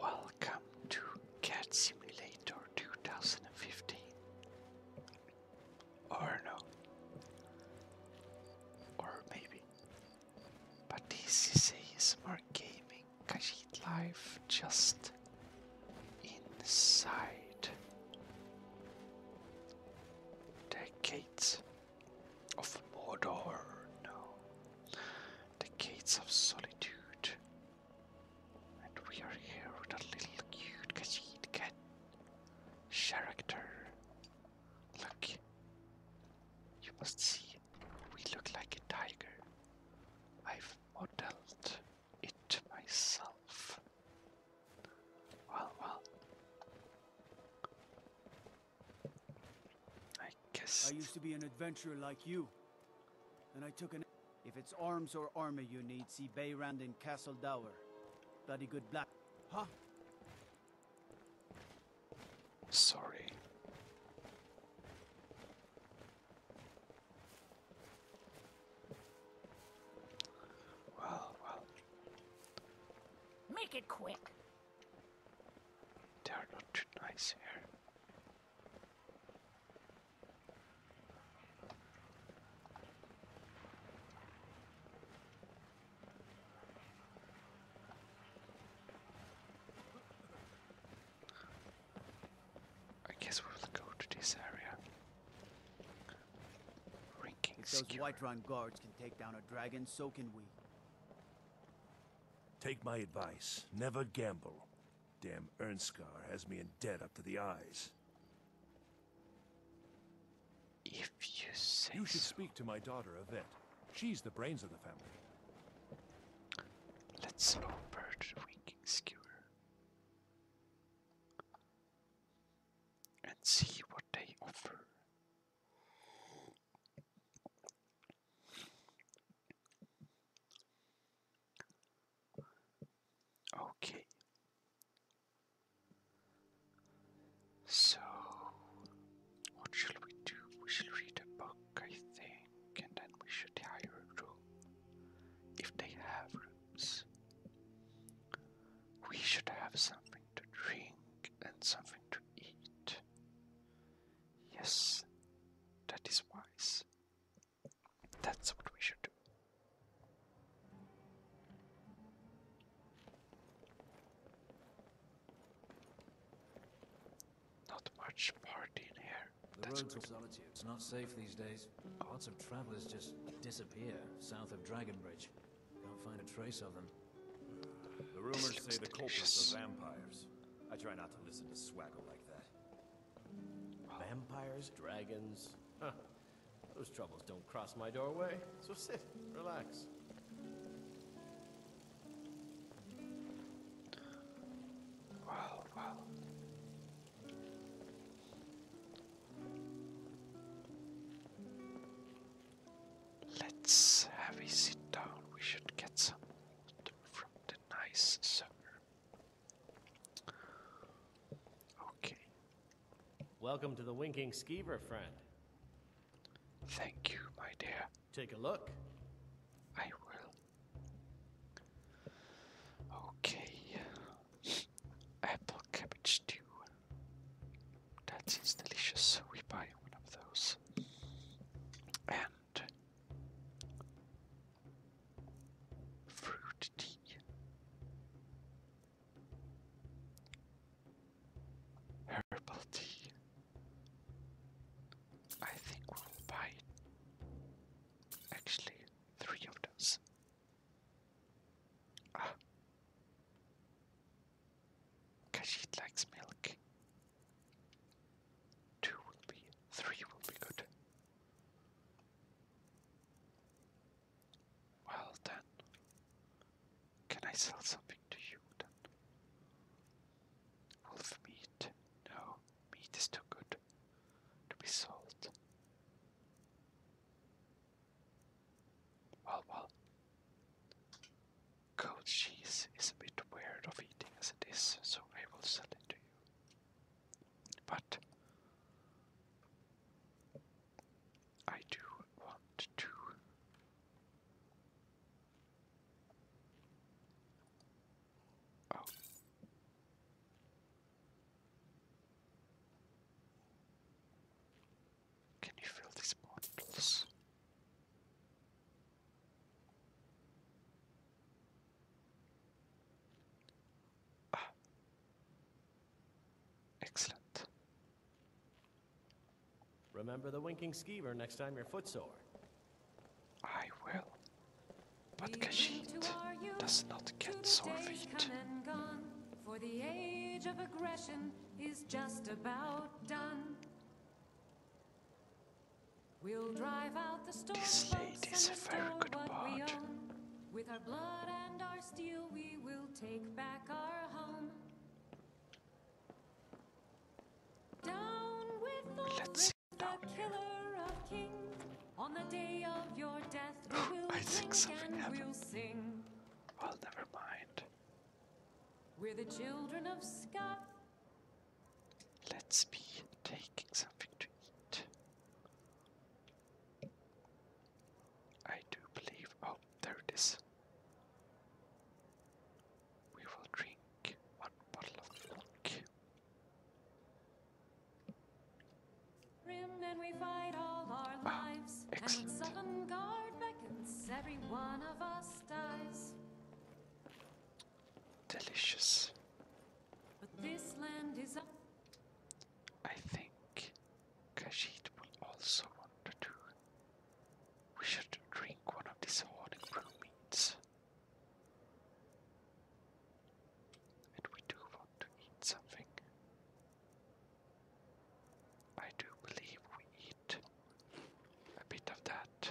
Welcome to Cat Simulator 2015. Or no. Or maybe. But this is a smart Gaming Kajit Life just inside the gates of Mordor the gates of solitude. And we are here with a little cute Khajiit cat character. Look, you must see, we look like a tiger. I've modeled it myself. Well, well. I guess. I used to be an adventurer like you, and I took an. If it's arms or armor you need, see Bayrand in Castle Dower. Bloody good black. Huh? Sorry. Well, well. Make it quick. They are not too nice here. I guess we'll go to this area. Ranking if those Whiterun guards can take down a dragon, so can we. Take my advice. Never gamble. Damn Ernskar has me in debt up to the eyes. If you say You should speak to my daughter, Yvette. She's the brains of the family. Let's low bird winking skewer. And see what they offer. Okay. So, what shall we do? We shall read a book, I think, and then we should hire a room. If they have rooms, we should have something to drink and something to eat. Yes, that is wise. That's what we should do. Not much party in here. The That's road to It's not safe these days. Mm. Lots of travelers just disappear south of Dragonbridge. Can't find a trace of them. The rumors say the delicious. culprits are vampires. I try not to listen to swaggle Vampires, dragons. Those troubles don't cross my doorway. So sit, relax. Wow, wow. Let's have a sit down. We should get some from the nice summer. Okay. Welcome to the Winking Skeever, friend. Thank you, my dear. Take a look. I will. Okay. Apple cabbage stew. That seems delicious. We buy one of those. And Fruit tea. Herbal tea. I think we'll buy actually three of those. Ah. Kashid likes milk. Two will be, three will be good. Well then, can I sell something to you then? Wolf meat? No, meat is too good to be sold. Well, well, goat cheese is a bit weird of eating as it is, so I will sell it to you. But I do want to oh. Can you fill these bottles? Ah. Excellent. Remember the winking skeever next time you're footsore. I will. But Kashid does not get sore feet. We'll drive out the storm this lady is a very good bard. With our blood and our steel, we will take back our home. Let's the down we oh, I think something and Well, never mind. are the children of Scott. Let's be taking something to eat. I do believe. Oh, there it is. We will drink one bottle of milk. Rim ah, Excellent. Delicious. But this land is up. I think Kashid will also want to do. We should drink one of these hard grown meats. And we do want to eat something. I do believe we eat a bit of that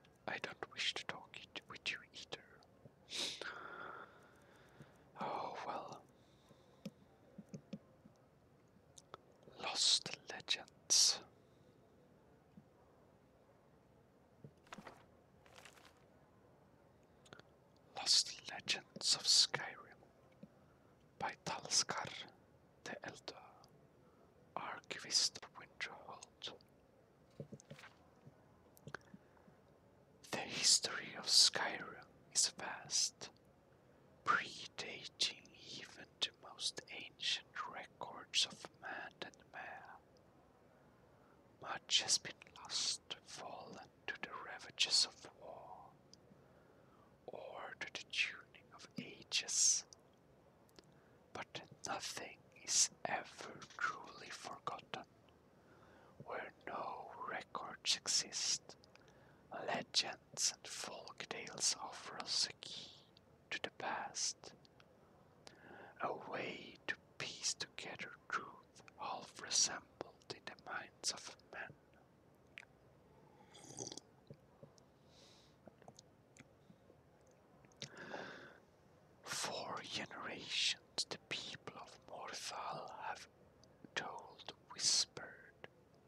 I don't wish to talk with you either. Oh well. Lost Legends. Lost Legends of Skyrim by Talskar the elder archivist Winterholt. The history of Skyrim is vast, predating even the most ancient records of man and man. Much has been lost, fallen to the ravages of war, or to the tuning of ages but nothing is ever truly forgotten. Where no records exist, legends and folk tales offer us a key to the past, a way to piece together truth half resembled in the minds of men. For generations, the people of Morthal have told whispered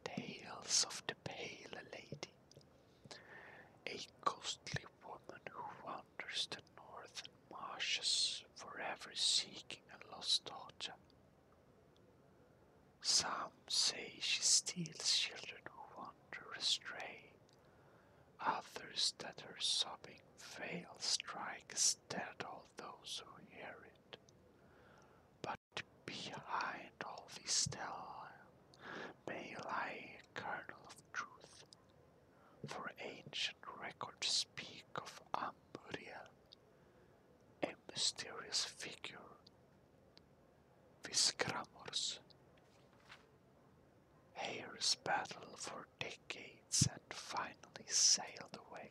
tales of the Pale Lady, a ghostly woman who wanders the northern marshes forever seeking a lost daughter. Some say she steals children who wander astray Others that are sobbing fail; strikes dead all those who hear it. But behind all this tale may lie a kernel of truth, for ancient records speak of Amburiel, a mysterious figure Viscramors. Heirs battled for decades and finally sailed away.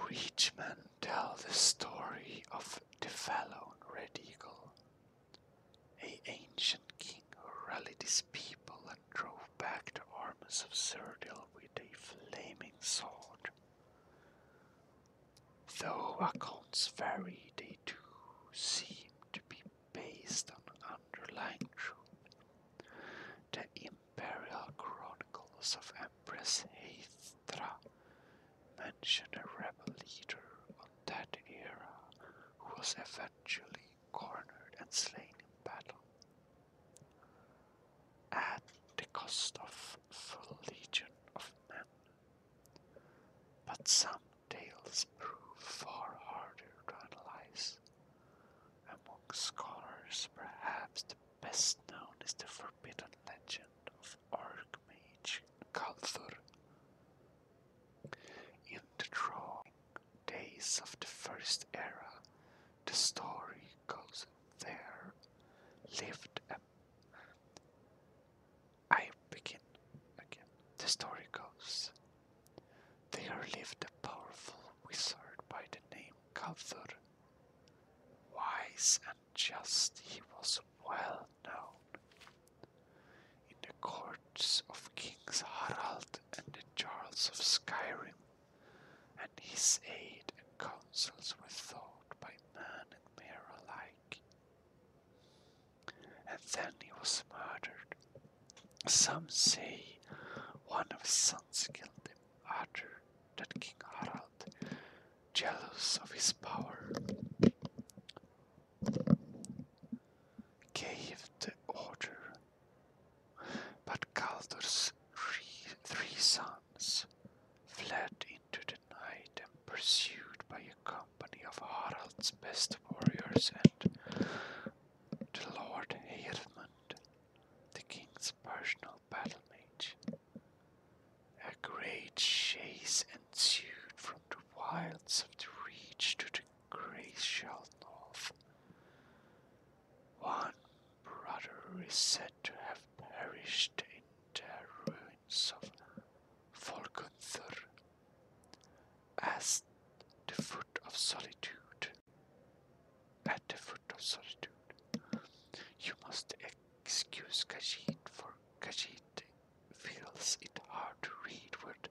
Reachmen tell the story of the Falon Red Eagle, a ancient king who rallied his people and drove back the armies of Cerdil with a flaming sword. Though accounts vary, they do seem to be based on underlying truth. The imperial chronicles of Empress Hathra mention a rebel leader of that era who was eventually cornered and slain in battle. At the cost of full legion of men but some tales prove far harder to analyze. Among scholars, perhaps the best known is the forbidden legend of Archmage Galthur. In the drawing days of the First Era, the story goes there lived a I begin again. The story goes there lived a powerful wizard by the name Kalthur. Wise and just, he was well known. In the courts of Kings Harald and the Charles of Skyrim, and his aid and counsels were thought by man and mere alike. And then he was murdered. Some say one of his sons killed him, others that King Harald, jealous of his power, gave the order. But Galdur's three, sons fled into the night and pursued by a company of Harald's best warriors and the Lord Heirmund, the king's personal battle mage. A great chase ensued from the wilds of the reach to the glacial north. One brother is said to have perished in their ruin sons of Folgunther as the foot of solitude. At the foot of solitude, you must excuse Khajiit, for Khajiit feels it hard to read what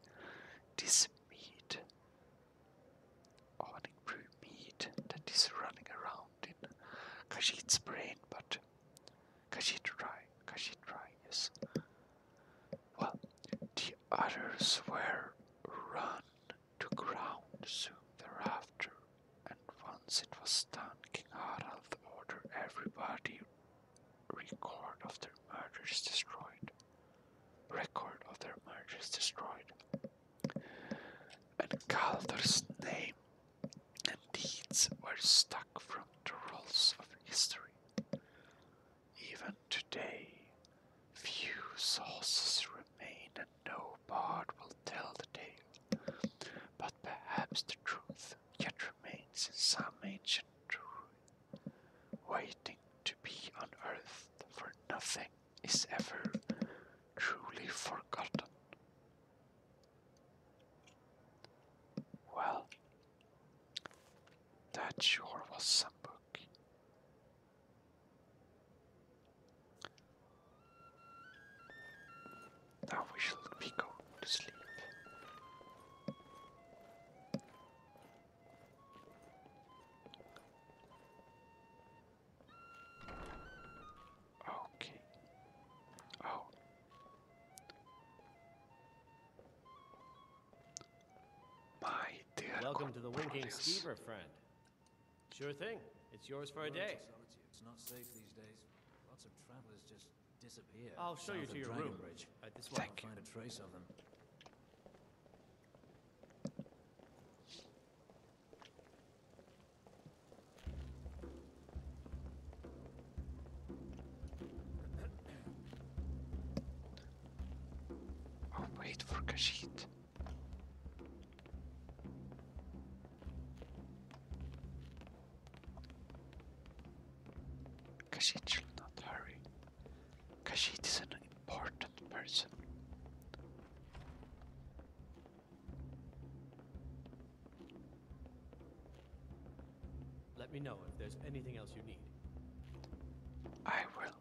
this mead, onic brew mead that is running around in Khajiit's brain, but Kashid. Kashid Rai. Kashid Rai, yes. Well, the others were run to ground soon thereafter, and once it was done, King Harald ordered everybody record of their murders destroyed. Record of their murders destroyed. And Calder's name and deeds were stuck from the rolls of history. Even today, few sources remain and no bard will tell the tale, but perhaps the truth yet remains in some ancient ruin, waiting to be unearthed, for nothing is ever truly forgotten. Well, that sure was some book. Now we shall be going to sleep. Oh. Welcome to the Winking Steamer, friend. Sure thing. It's yours for a day. I'll show you to your room. Bridge. At this one, find a trace of them. I'll oh, wait for Kashid. Kashid shall not hurry. Kashid is an important person. Let me know if there's anything else you need. I will.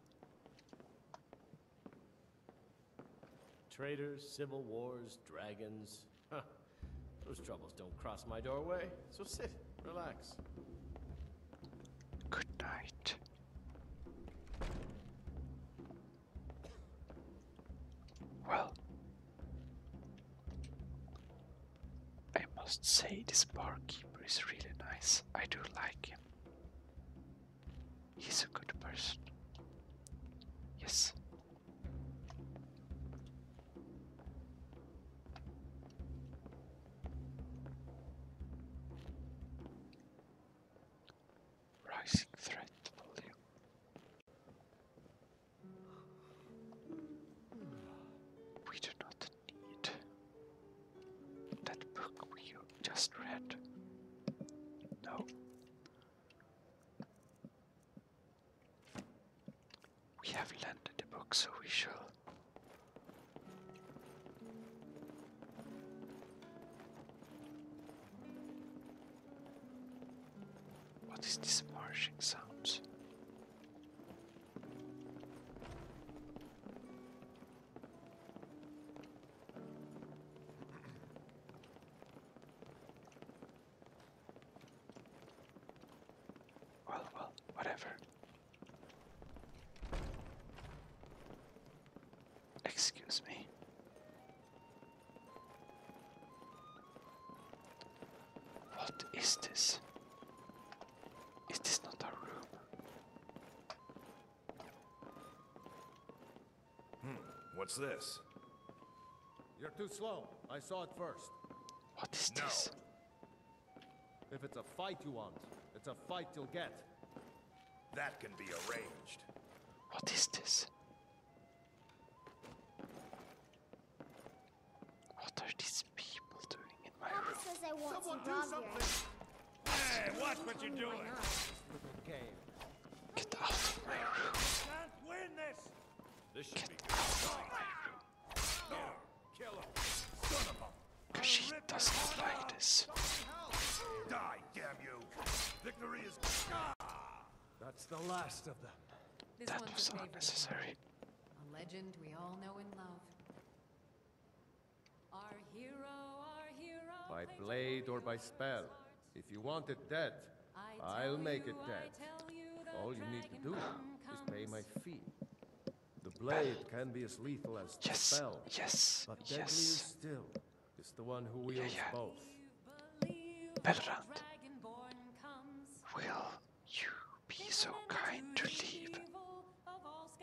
Traitors, civil wars, dragons. Those troubles don't cross my doorway. So sit, relax. Good night. Well, I must say, this barkeeper is really nice. I do like him. He's a good person. Yes. Rising threat we do not need that book we just read. No. We have landed the book, so we shall. What is this marshing sound? Well, well, whatever. Excuse me. What is this? Is this not a room? Hmm, what's this? You're too slow. I saw it first. What is no. this? If it's a fight you want, it's a fight you'll get. That can be arranged. What is this? What are these people doing in my Papa room? Says want Someone do something! Hey, watch what you're doing! Get out of my room! Can't win this! This should be good. out of my room! Kill him! Son of a... Cause she doesn't like this. damn you! Victory is... That's the last of them. that was unnecessary. A legend we all know and love. Our hero, our hero, by blade or by spell. If you want it dead, I'll make it dead. All you need to do is pay my fee. The blade can be as lethal as yes, the spell. Yes, but deadlier yes. still the one who wields yeah, yeah. both. Belrand will you be so kind to leave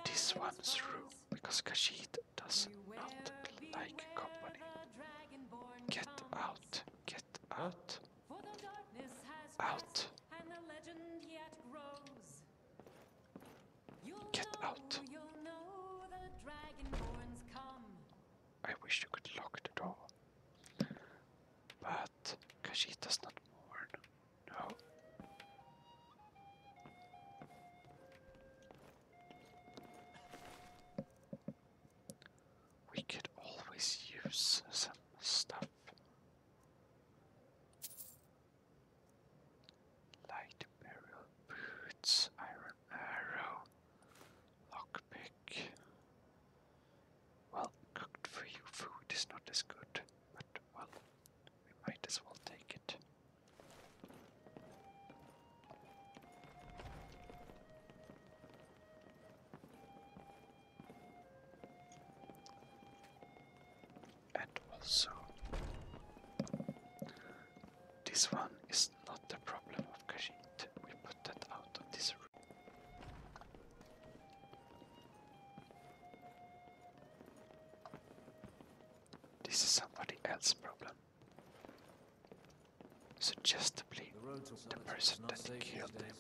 this one's room because Kashid does not like company. Get out, get out, out. Get out. I wish you could lock the door. But because she does not mourn. No. We could always use some stuff. Light burial boots, iron arrow, lockpick. Well, cooked for you food is not as good, but well, we might as well take it. And also, this one is not the problem of Khajiit. We put that out of this this is somebody else's problem. Suggestively, the, the person that killed him.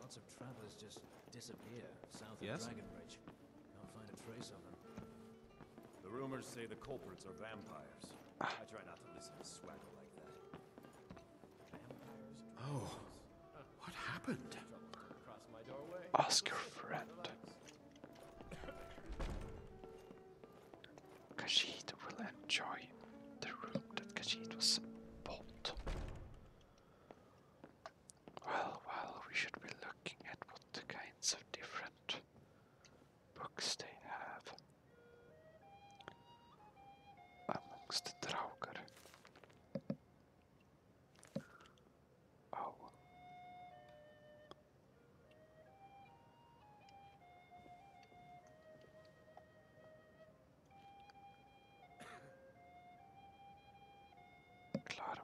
Lots of travelers just disappear south yes? of Dragonbridge. Can't find a trace of them. The rumors say the culprits are vampires. Ah. I try not to listen to swagger like that. Oh, what happened? Ask your friend. Kashid will enjoy the room that Kashid was bought. Well, well, we should be looking at what kinds of different books they have amongst the Draugr. Oh. Klar,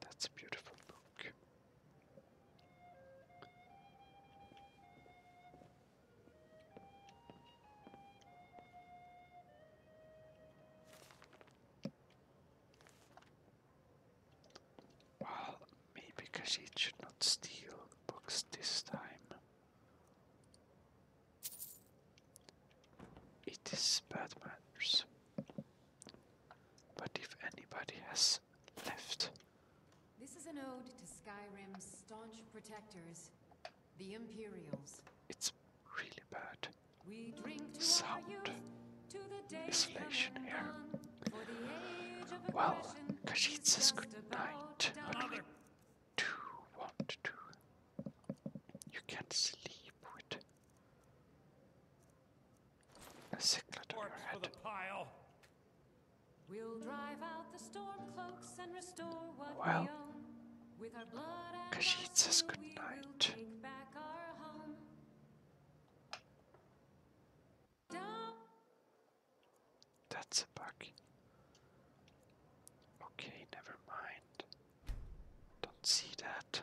that's a beautiful book. Well, maybe Khajiit should not steal books this time. It is bad manners. But if anybody has left this is an ode to Skyrim's staunch protectors, the Imperials. It's really bad. We drink to Sound. Isolation here. Well, Kashit says good night. What do You can't sleep with a sicklet on your head. We'll drive out the storm and restore what well, we own. With our blood says good night. That's a bug. Okay, never mind. Don't see that.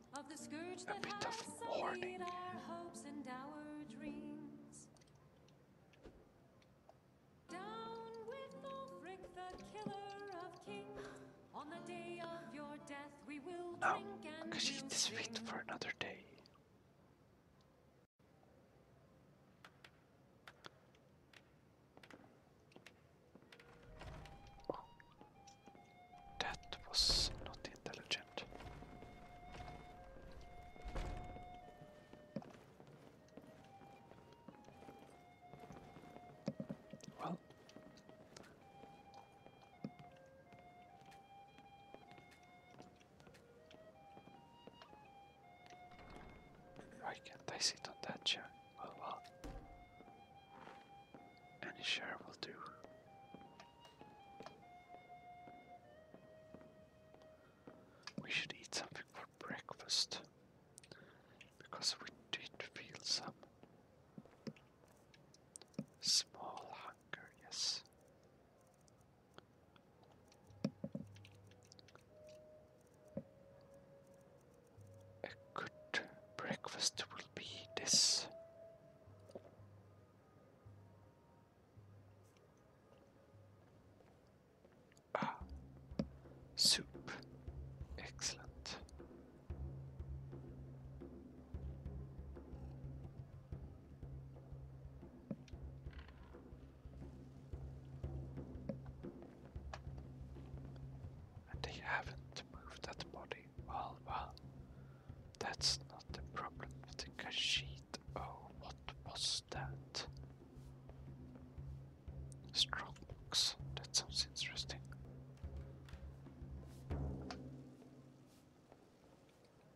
of the scourge that has sullied our hopes and our dreams. of kings. no, because we'll this for another day. That was not intelligent. Well, why can't sit on that chair? Well, well. Any share will do. We should eat something for breakfast because we did feel some small hunger, yes. A good breakfast will be this Ah, soup. Excellent. And they haven't moved that body. Well, well, that's not the problem with the Khajiit. Oh, what was that? Strongbox. That sounds interesting.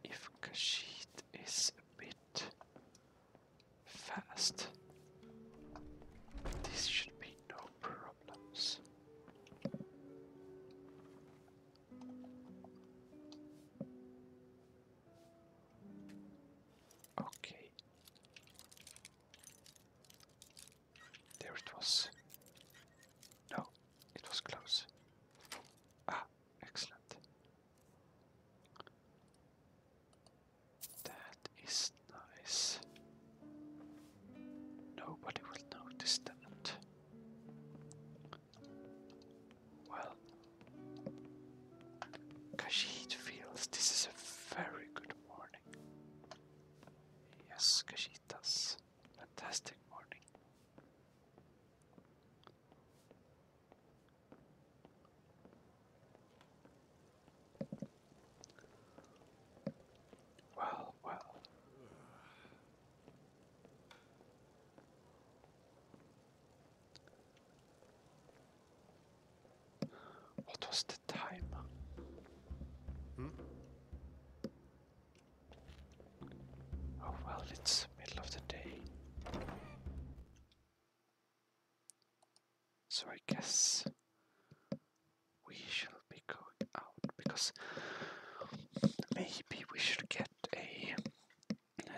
If Khajiit is a bit fast, this should be no problems. Okay. There it was. No, it was close. Ah, excellent. That is nice. Nobody will notice that. Well, Khajiit feels this is a very good morning. Yes, Khajiit does. Fantastic morning. Well, well. What was the time? Hmm? Oh well, it's middle of the day. So I guess we shall be going out because maybe we should get a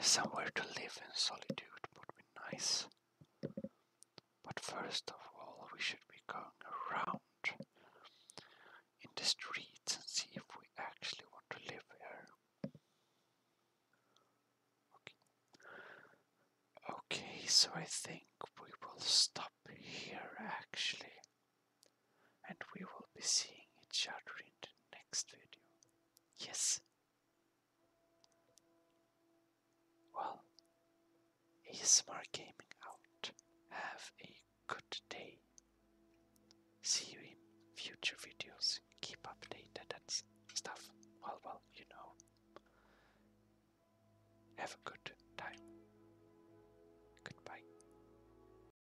somewhere to live in solitude would be nice. But first of all, we should be going around in the streets and see if we actually want to live here. Okay, okay so I think we will stop here actually and we will be seeing each other in the next video. Yes. Well, ASMR Gaming out. Have a good day. See you in future videos. Keep updated and stuff. Well, well, you know. Have a good time. Goodbye.